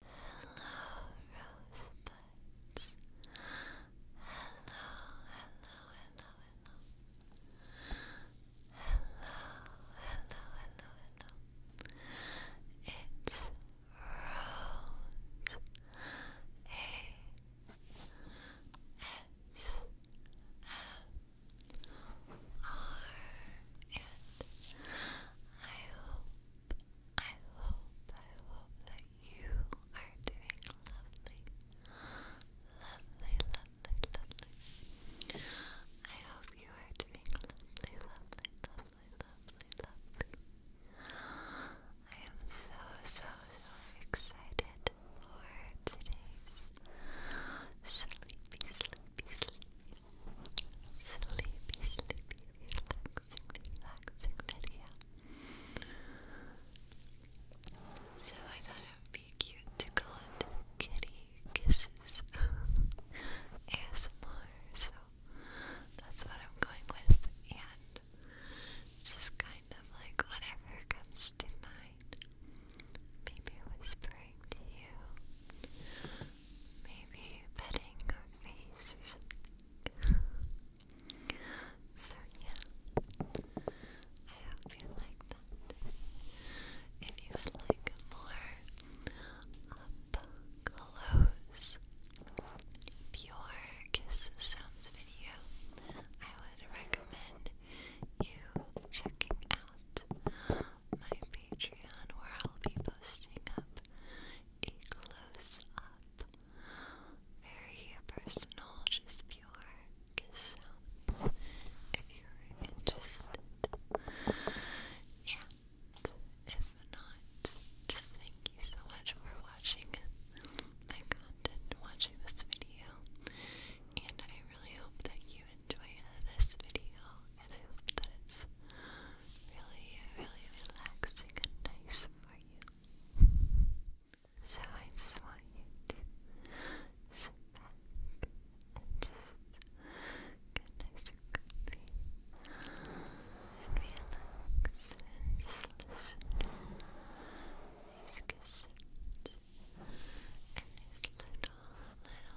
Hello, rosebuds. Hello, hello, hello, hello. Hello, hello, hello, hello. It's Rose. A. S. M and I hope, I hope, I hope that you are doing lovely, lovely, lovely, lovely. I hope you are doing lovely, lovely, lovely, lovely, lovely. I am so, so, so excited for today's sleepy, sleepy, sleepy, sleepy, sleepy, relaxing, relaxing video. So I thought it would be cute to call it Kitty Kisses ASMR. So that's what I'm going with, and just kind of like whatever comes to mind. Maybe whispering to you. Maybe petting your face or something. so yeah, I hope you like that. If you would like more up close, pure kiss sounds video, I would recommend you checking out my Patreon where I'll be posting up a close up, very personal, just pure kiss sounds if you're interested. And if not, just thank you so much for watching my content, watching this video, and I really hope that you enjoy this video and I hope that it's really, really relaxing and nice for you. So I just want you to sit back and just get nice and comfy and relax and just listen these kisses and these little, little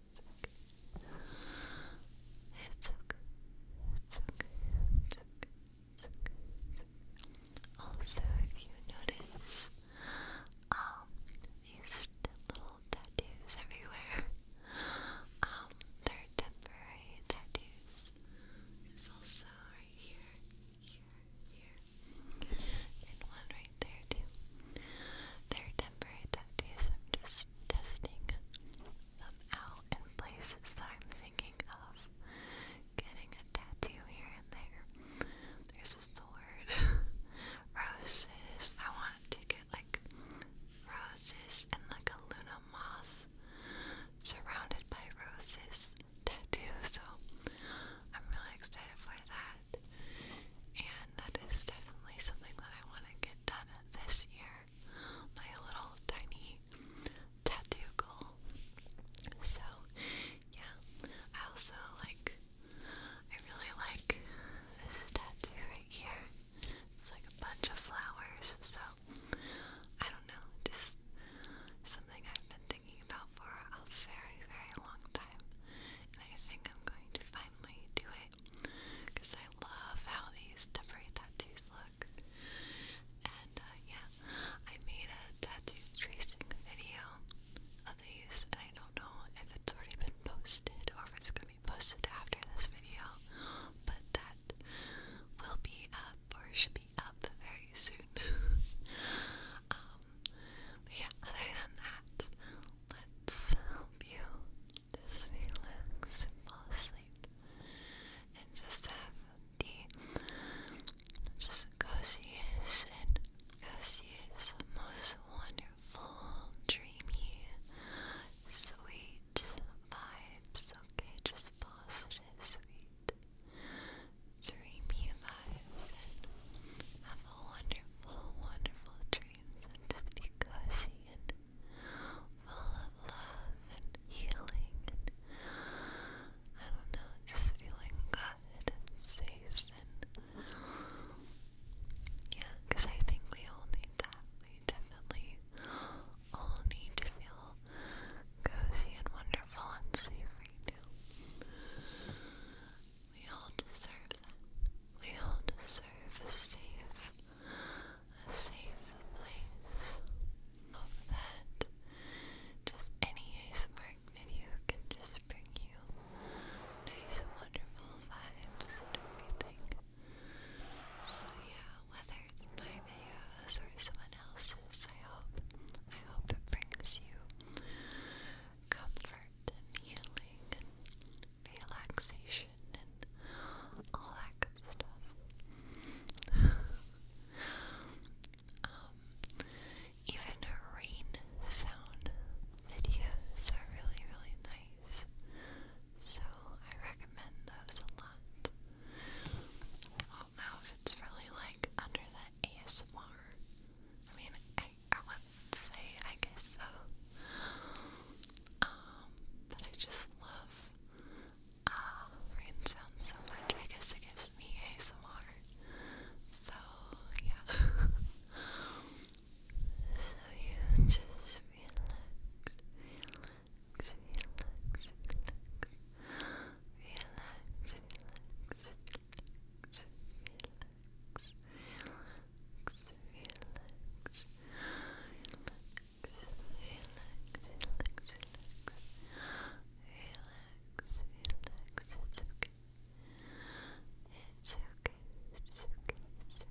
It's okay. It's okay. It's okay. Also, if you notice, um, these little tattoos everywhere, um, they're temporary tattoos. also right here, here, here, and one right right there too. Their temporary I'm just testing them out in places that I'm thinking of getting a tattoo here and there. There's a sword. roses. I want to get like roses and like a Luna moth surrounded by roses tattoo. So I'm really excited for that. And that is definitely something that I want to get done this year. My little tiny tattoo goal. So, yeah. I also like, I really like this tattoo right here. It's like a bunch of flowers. So, I don't know. Just something I've been thinking about for a very, very long time. And I think I'm going to finally do it because I love how these temporary tattoos look. And uh, yeah, I made a tattoo tracing video of these, and I don't know if it's already been posted or if it's gonna be posted after this video, but that will be up or should be up very soon. Um, yeah, other than that, let's help you just relax and fall asleep and just have the just coziest and coziest, most wonderful, dreamy, sweet vibes, okay? Just positive, sweet, dreamy vibes have a wonderful, wonderful dream just be and full of love and healing and I don't know, just feeling good and safe and yeah, because I think we all need that. We definitely all need to feel cozy and wonderful and safe right now. We all deserve that. We all deserve a safe, a safe place. Hope that just any ASMR video can just bring you nice, wonderful vibes and everything. So yeah, whether it's my videos or someone else's, I hope, I hope it brings you comfort and healing and relaxation and all that good stuff. um, even rain sound videos are really, really nice. So I recommend those a lot. I don't know if it's really like under the ASMR. I mean, I I wouldn't say I guess so. Um, but I just love uh rain sounds so much. I guess it gives me ASMR. So yeah. so you just relax, relax, relax, relax. Relax, relax, relax, relax relax, relax, relax, relax, relax, relax. Relax, relax, it's okay. It's okay, it's okay, it's okay.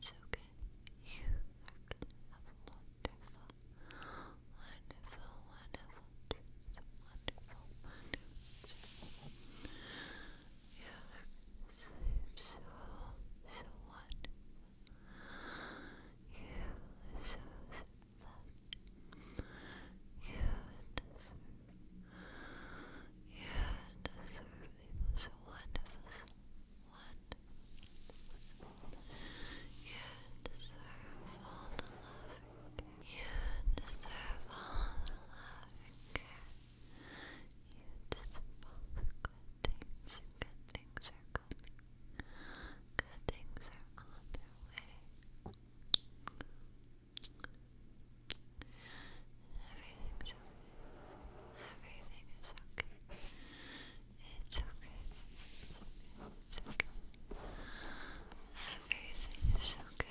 it's okay. You are have a wonderful, wonderful, wonderful, wonderful, wonderful sleep so, so wonderful. You are so, You deserve, you deserve the wonderful sleep. Wonderful You deserve all the love You deserve all the love and care dissolve. Good things, good things are coming. Good things are on their way. Everything's Everything is okay. It's okay. It's okay. It's okay. Everything is okay.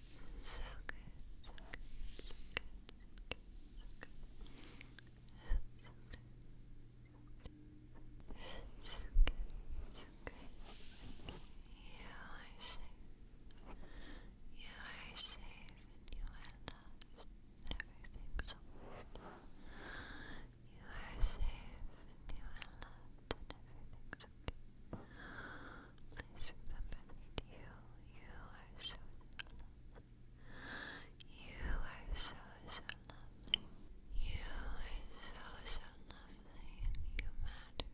It's okay, it's okay, it's okay. You are safe. You are safe and you are loved. Everything's alright. You are safe and you are loved and everything's Please remember that you, you are so lovely. You are so, so lovely. You are so, so lovely. you matter.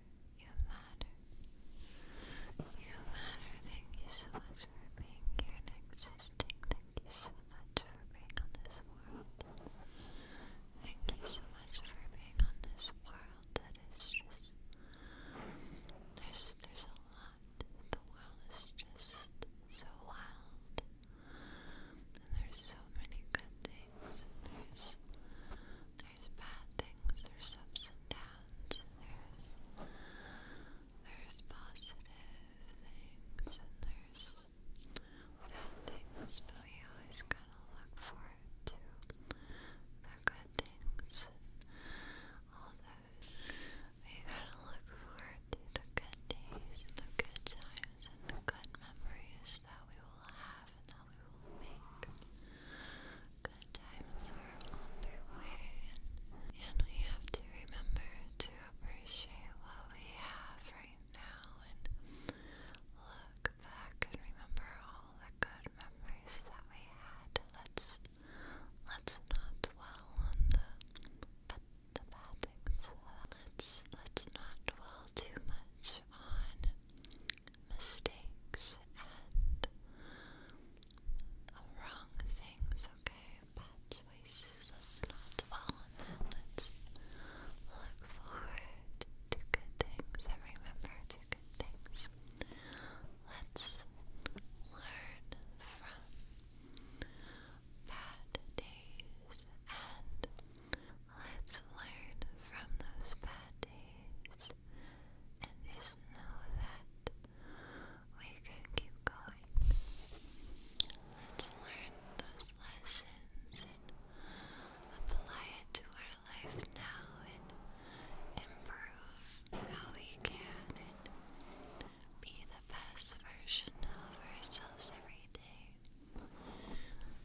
You matter. You matter. Thank you so much for being here and existing. Thank you so much for being on this world. Thank you so much for being on this world that is just there's there's a lot. The world is just so wild. And there's so many good things there's there's bad things, there's ups and downs, there's there's positive things and there's bad things, but we always kinda look forward to the good things all those. We gotta look forward to the good days the good times and the good memories that we will have and that we will make. Good times are on their way, and we have to remember to appreciate what we have right now and look back and remember all the good memories that we had. Let's let's not dwell on the the bad things. Let's let's not dwell too much on mistakes and wrong things, okay? Bad choices. Let's not dwell on that. Let's look forward good. good things and remember to good things. Let's learn from bad days and let's learn from those bad days and just know that we can keep going. Let's learn those lessons and apply it to our life now and improve how we can and be the best version of ourselves every day.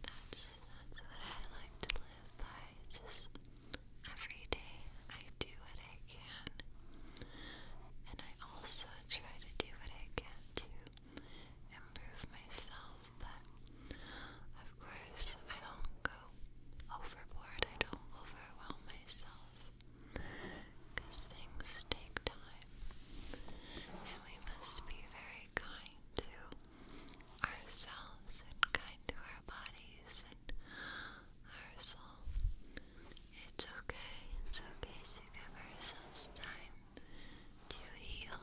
That's that's what I like to live by. Just every day I do what I can. And I also try to do what I can to improve myself but of course I don't go overboard, I don't overwhelm myself because things take time and we must be very kind to ourselves and kind to our bodies and our soul. It's okay, it's okay to give ourselves time to heal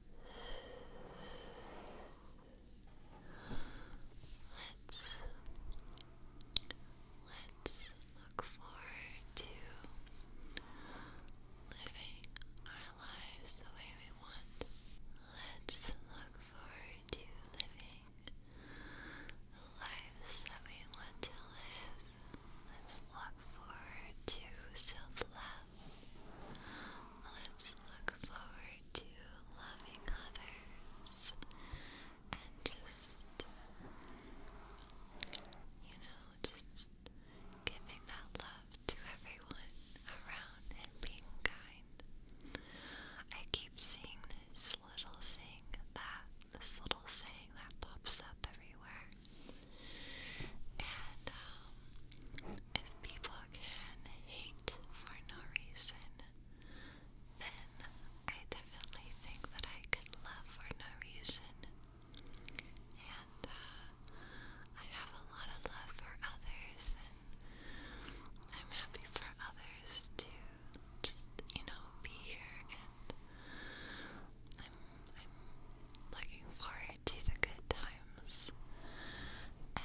Let's let's look forward to living our lives the way we want. Let's look forward to living the lives that we want to live. Let's look forward to self love. Let's look forward to loving others and just, you know, just giving that love to everyone around and being kind. I keep seeing this little thing that, this little saying that pops up everywhere. And um, if people can hate for no reason, then I definitely think that I can love for no reason. And uh, I have a lot of love for others, and I'm happy for others to just, you know, be here. And I'm looking forward to the good times and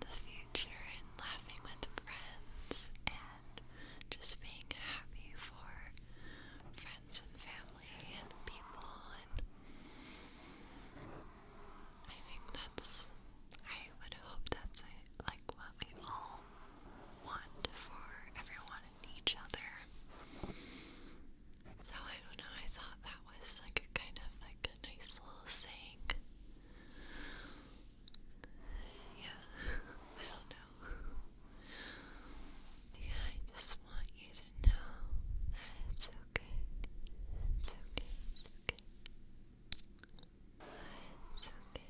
the future and laughing with friends and just being happy for friends and family and people and I think that's I would hope that's like what we all want for everyone and each other. So I don't know, I thought that was like a kind of like a nice little thing. Yeah, I don't know. Yeah, I just want you to know that it's okay. It's okay, it's okay. It's okay. It's okay.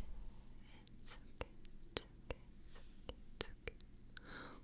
okay. okay.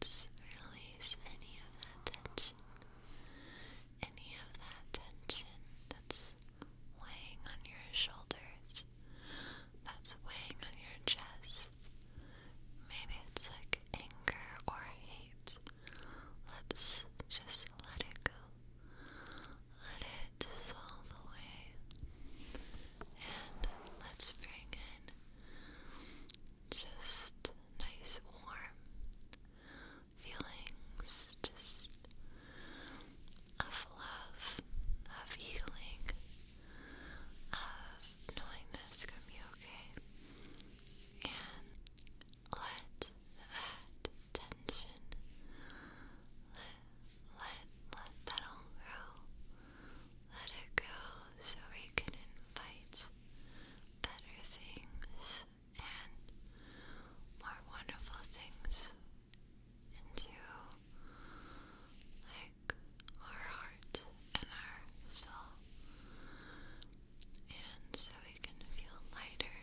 Let's release any of that tension. Any of that tension that's weighing on your shoulders, that's weighing on your chest. Maybe it's like anger or hate. Let's just let it go. Let it dissolve away. And let's bring in just nice warm feelings. Just of love, of healing, of knowing this can be okay. And let that tension, let, let, let that all go. Let it go so we can invite better things and more wonderful things and you like our heart and our soul, and so we can feel lighter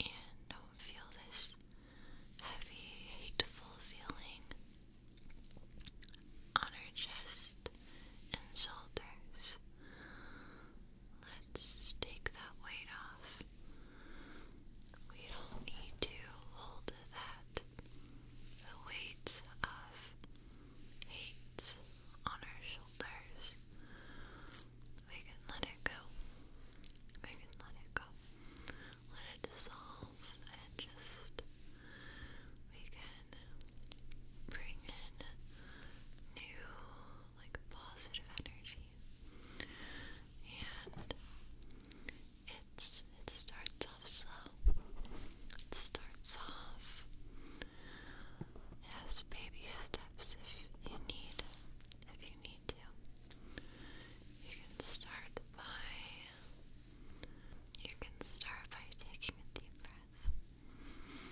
and don't feel this heavy, hateful feeling on our chest and shoulders. Let's take that weight off we don't need to hold that the weight of hate on our shoulders. We can let it go. We can let it go. Let it dissolve and just we can bring in new like positive energy. And it's it starts off slow. It starts off as baby steps if you need if you need to. You can start by you can start by taking a deep breath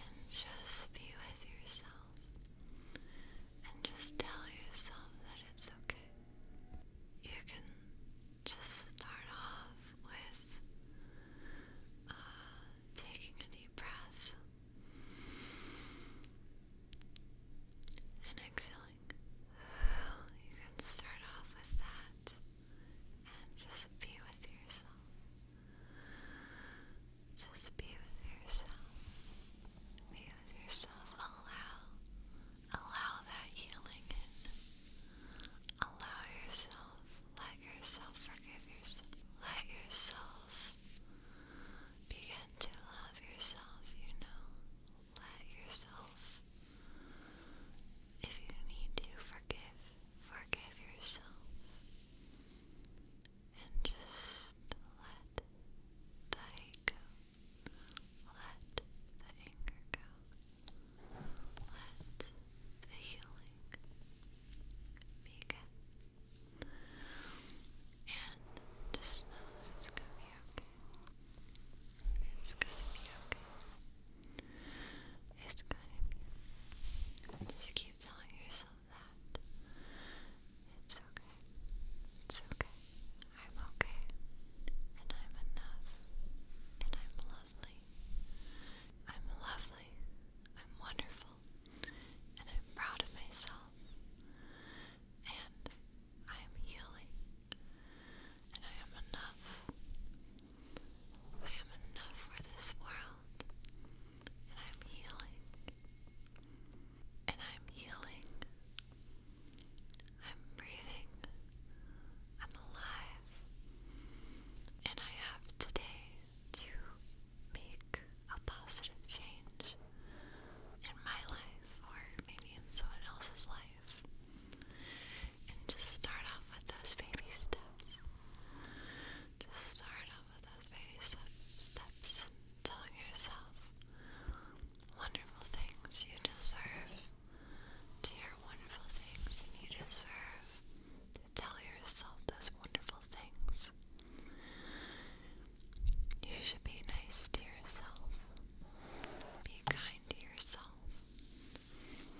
and, just be with yourself. And just tell yourself that it's okay. You can just start off with uh, taking a deep breath and exhaling. You can start off with that and just be with yourself. Just be with yourself. Be with yourself. Allow, allow that healing in. Allow yourself. Let yourself forgive yourself. Let yourself begin to love yourself. You know, let yourself. If you need to forgive, forgive yourself and just let the Let the anger go. Let the healing begin. And just know it's gonna be okay. It's gonna be okay. It's gonna be okay. Just keep telling yourself that. It's okay. It's okay. I'm okay. And I'm enough. And I'm lovely. I'm lovely. I'm wonderful. And I'm proud of myself. And I am healing. And I am enough. I am enough for this world and I'm healing, and I'm healing. I'm breathing, I'm alive, and I have today to make a positive change in my life, or maybe in someone else's life. And just start off with those baby steps. Just start of those very steps and telling yourself wonderful things you deserve to hear wonderful things you deserve to tell yourself those wonderful things. You should be nice to yourself. Be kind to yourself.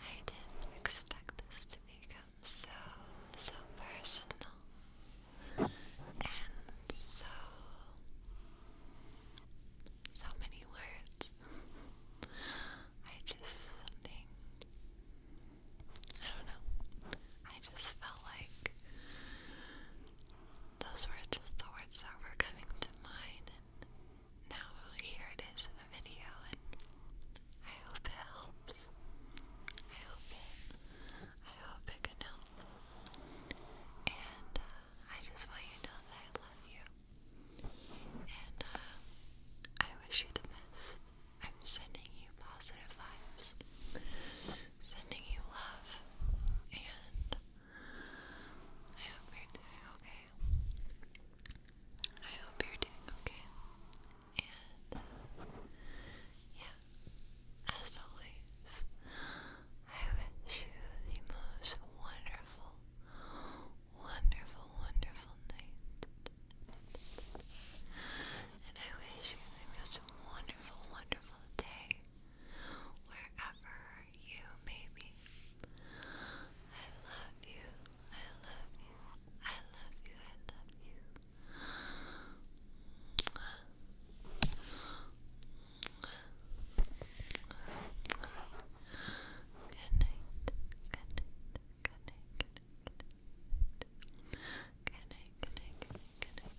I didn't expect this to become so, so personal and so, so many words. I just, something, I don't know, I just felt like those were just the words that were coming to mind, and now here it is in a video, and I hope it helps. I hope it. I hope it can help. And uh, I just want you to know that I love you, and uh, I wish you the best. I'm sending you positive vibes, sending you love, and. I hope you're doing okay. I hope you're doing okay. And yeah, as always, I wish you the most wonderful, wonderful, wonderful night. And I wish you the most wonderful, wonderful day wherever you, maybe. I love you, I love you, I love you, I love you. good night, good night. Good night, good night, good night, good night.